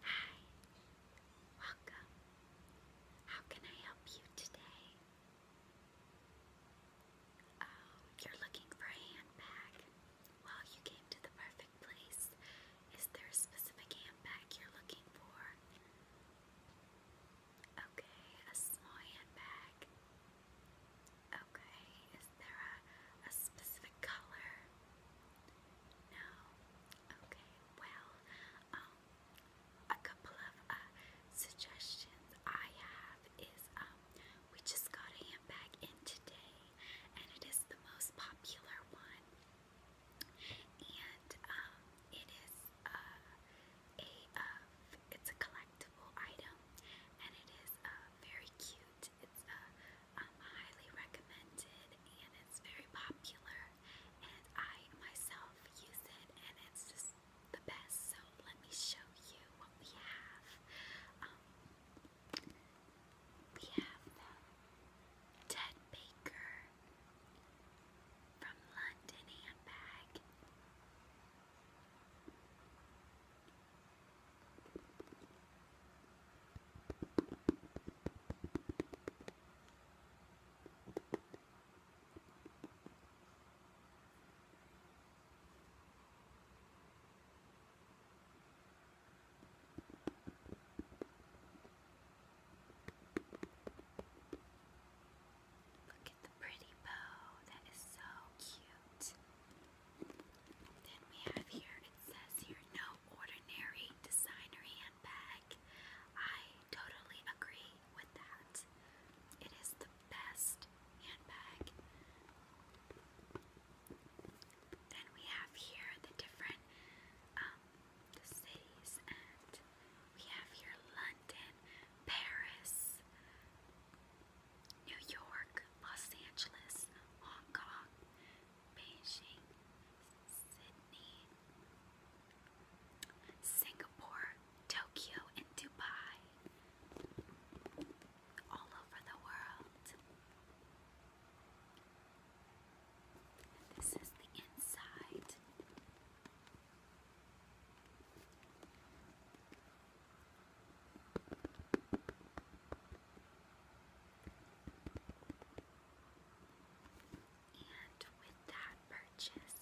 Hi, welcome. How can I help you today? Oh, you're looking for a handbag. Well, you came to the perfect place. Is there a specific handbag you're looking for? Okay, a small handbag. Okay, is there a, specific color? No. Okay. Well, um, a couple of uh, suggestions I have is um, we just got a handbag in today, and it is the most popular one, and um, it is uh, a uh, it's a collectible item, and it is uh, very cute. It's uh, um, highly recommended and it's very popular. And I myself use it, and it's just the best. So let me show you what we have. Um, we have Ted Baker from London Handbag. Look at the pretty bow. That is so cute. Then we have here, it says here, no ordinary designer handbag. I totally agree with that. It is the best handbag. Then we have here the different um, cities, and we have here London, Paris, New York, Los Angeles, Hong Kong, Beijing, Sydney, Singapore, Tokyo, and Dubai. All over the world. This is the inside. And with that purchase,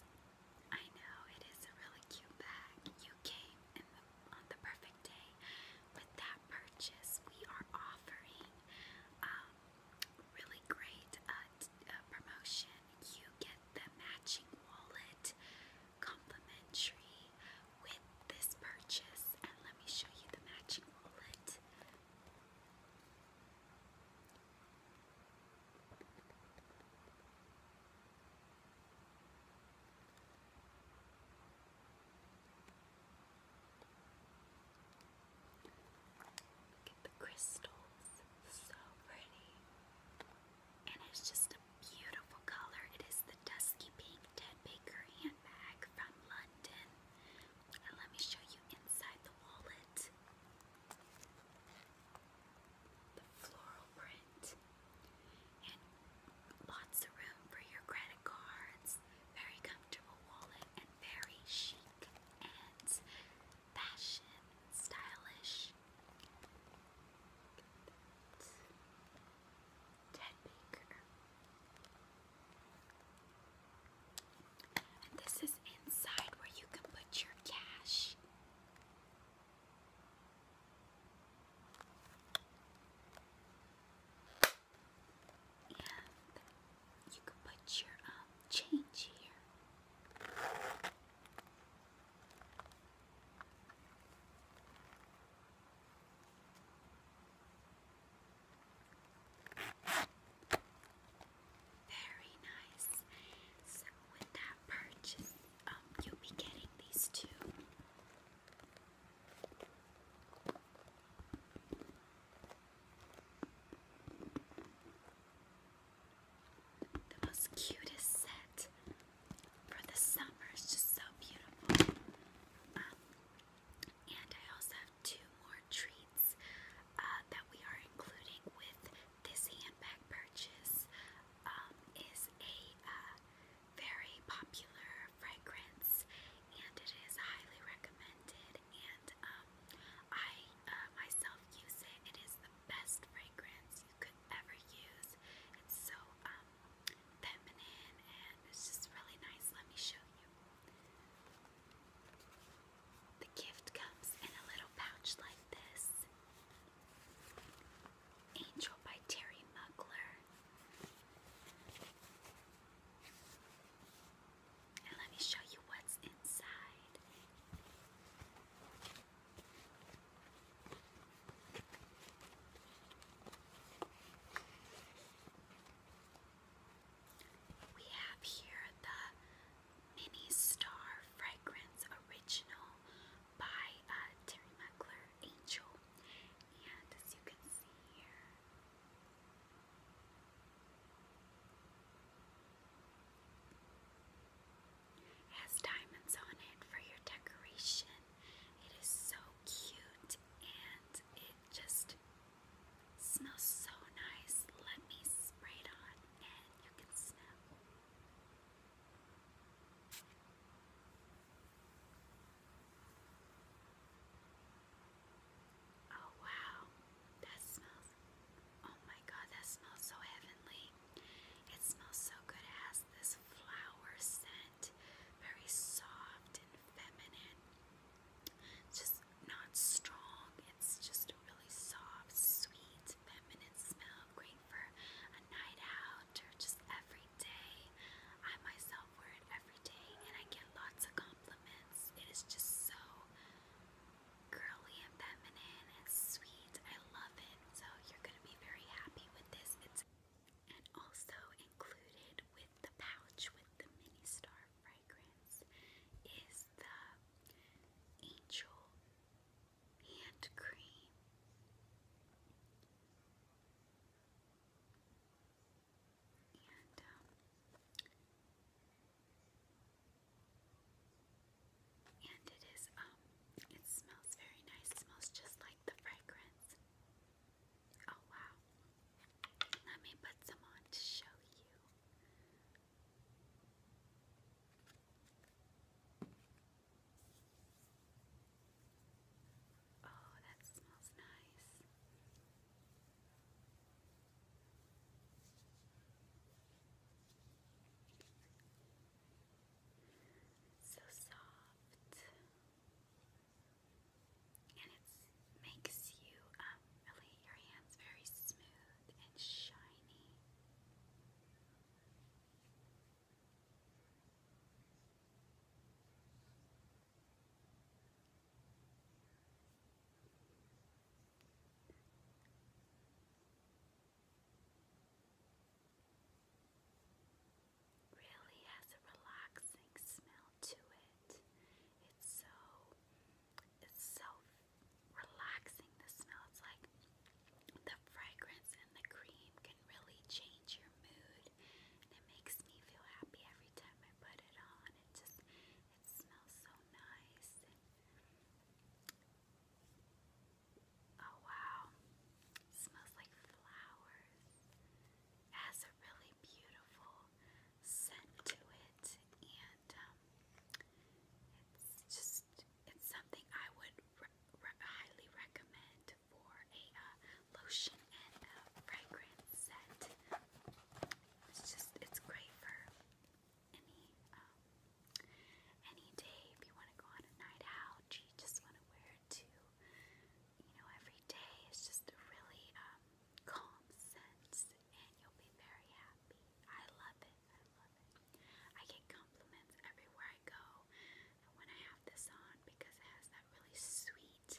I know it is a really cute bag. You came on the perfect day. With that purchase, we are offering a um, really great uh, uh, promotion. You get the matching wallet complimentary with this purchase, and let me show you the matching wallet. Look at the crystals, so pretty. And it's just a beautiful color. It is the dusky pink Ted Baker bag from London. let me show you inside the wallet. The floral print. And lots of room for your credit cards. Very comfortable wallet and very chic and fashion, stylish. Ted Baker. this is inside where you can put your cash. And you can put your um, change here. Very nice. So with that purchase, um, you'll be getting these two. The most cutest set for the summer. It's just so beautiful. Um, and I also have two more treats uh, that we are including with this handbag purchase. Um, is a uh, very popular fragrance, and it is highly recommended. And um, I uh, myself use it. It is the best fragrance you could ever use. It's so um, feminine, and it's just really nice. Let me show you. The gift comes in a little pouch like this. Angel by Terry Mugler. And let me show you what's inside. We have here the Mini Star Fragrance Original by uh, Terry Muckler Angel. And as you can see here, has diamonds on it for your decoration. It is so cute and it just smells so nice. Let me spray it on and you can smell. Oh wow, that smells. Oh my god, that smells so heavenly. It smells so good. It this flower scent, very soft and feminine. Just not strong. It's just a really soft, sweet, feminine smell. Great for a night out or just every day. I myself wear it every day and I get lots of compliments. It is just so girly and feminine and sweet. I love it. So you're gonna be very happy with this. It's and also included with the pouch with the mini star fragrance is the Angel Hand Cream. And, um, it is, um, it smells very nice. It smells just like the fragrance. Oh wow. Let me put some on to show you. Oh, that smells nice so soft, and it makes you um, really your hands very smooth and shiny really has a relaxing smell to it. It's so it's so relaxing the smell. It's like the fragrance and the cream can really change your mood. And it makes me feel happy every time I put it on. It just it smells so nice. And Oh wow, smells like flowers. It has a really beautiful scent to it, and um, it's just it's something I would highly recommend for a uh, lotion and a fragrance set. It's just it's great for any um, any day. If you want to go on a night out, you just want to wear it to, you know, every day. It's just really um, calm sense, and you'll be very happy. I love it. I love it. I get compliments everywhere I go when I have this on because it has that really sweet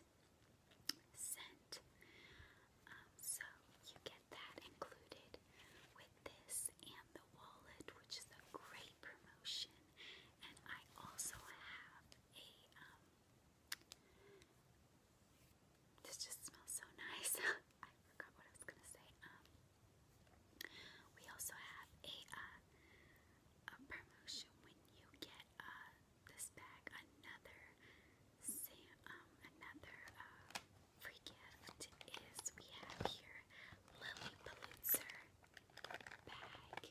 scent. Um, so you get that included with this and the wallet, which is a great promotion. And I also have a, um, this just smells so nice. I forgot what I was going to say. Um, we also have a, uh, a promotion when you get, uh, this bag, another, Sam, um, another, uh, free gift is we have here Lily Pulitzer bag.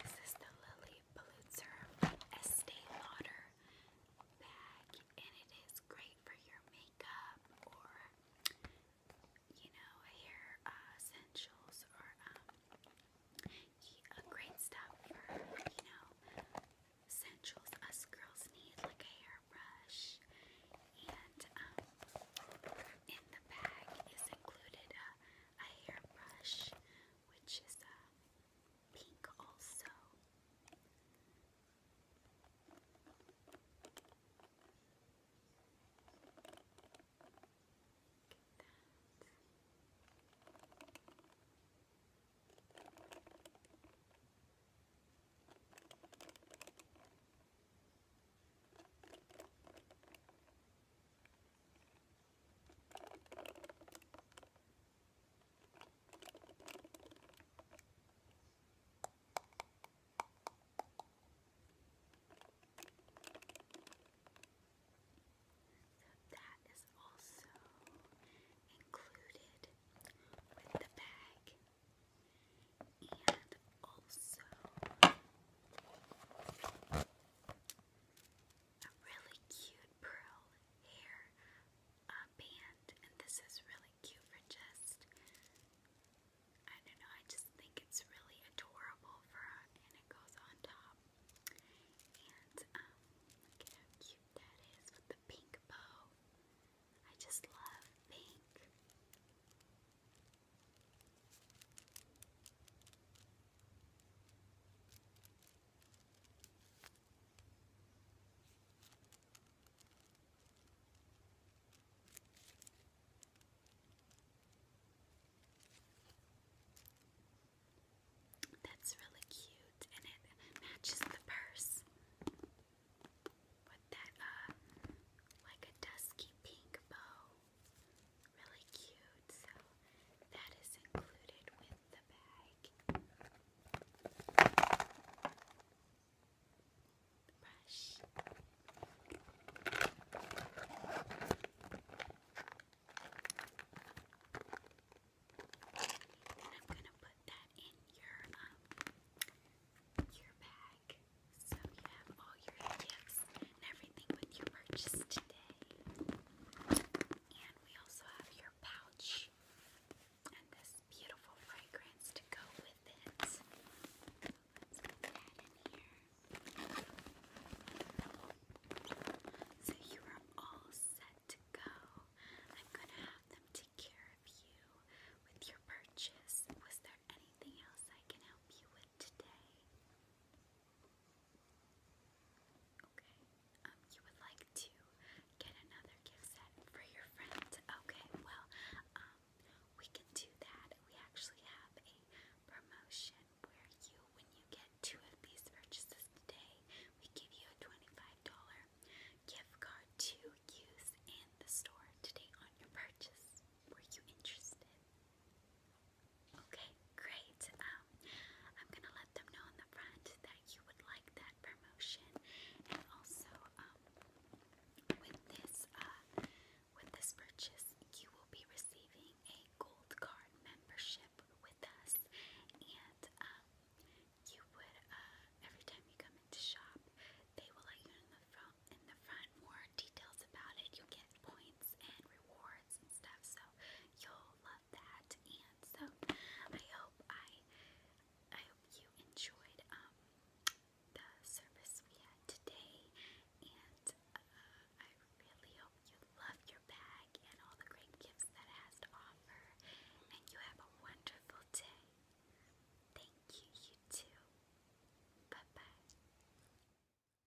This is the Lily Pulitzer Estee Lauder bag, and it is great for your makeup or, you know, hair uh, essentials or um, yeah, great stuff for, you know, essentials us girls need, like a hairbrush. And um, in the bag is included a, uh, a hairbrush, which is um, pink also that is also included with the bag and also a really cute pearl hair uh, band, and this is really cute for just, I don't know, I just think it's really adorable for, and it goes on top, and um, look at how cute that is with the pink bow, I just love pink. That's really cute and it matches the purse with that um, like a dusky pink bow really cute. So that is included with the bag. brush. And I'm gonna put that in your um your bag so you have all your gifts and everything with your purchase today. And we also have your pouch and this beautiful fragrance to go with it. So you are all set to go. I'm gonna have them take care of you with your purchase. Was there anything else I can help you with today? Okay. Um, you would like to get another gift set for your friend. Okay, well, um, we can do that. We actually have a promotion where you, when you get two of these purchases today, we give you a $25 gift card to use in the store today on your purchase. Were you interested? Okay, great. Um, I'm gonna let them know in the front that you would like that promotion, and also um, with this uh, with this purchase, you will be receiving a gold card membership with us, and um, you would uh, every time you come into shop, they will let you in the front in the front more details about it. you get points and rewards and stuff, so you'll love that. And so I hope I I hope you enjoyed um, the service we had today, and uh, I really hope you love your bag and all the great gifts that it has to offer, and you have a wonderful day. Thank you, you too. Bye bye.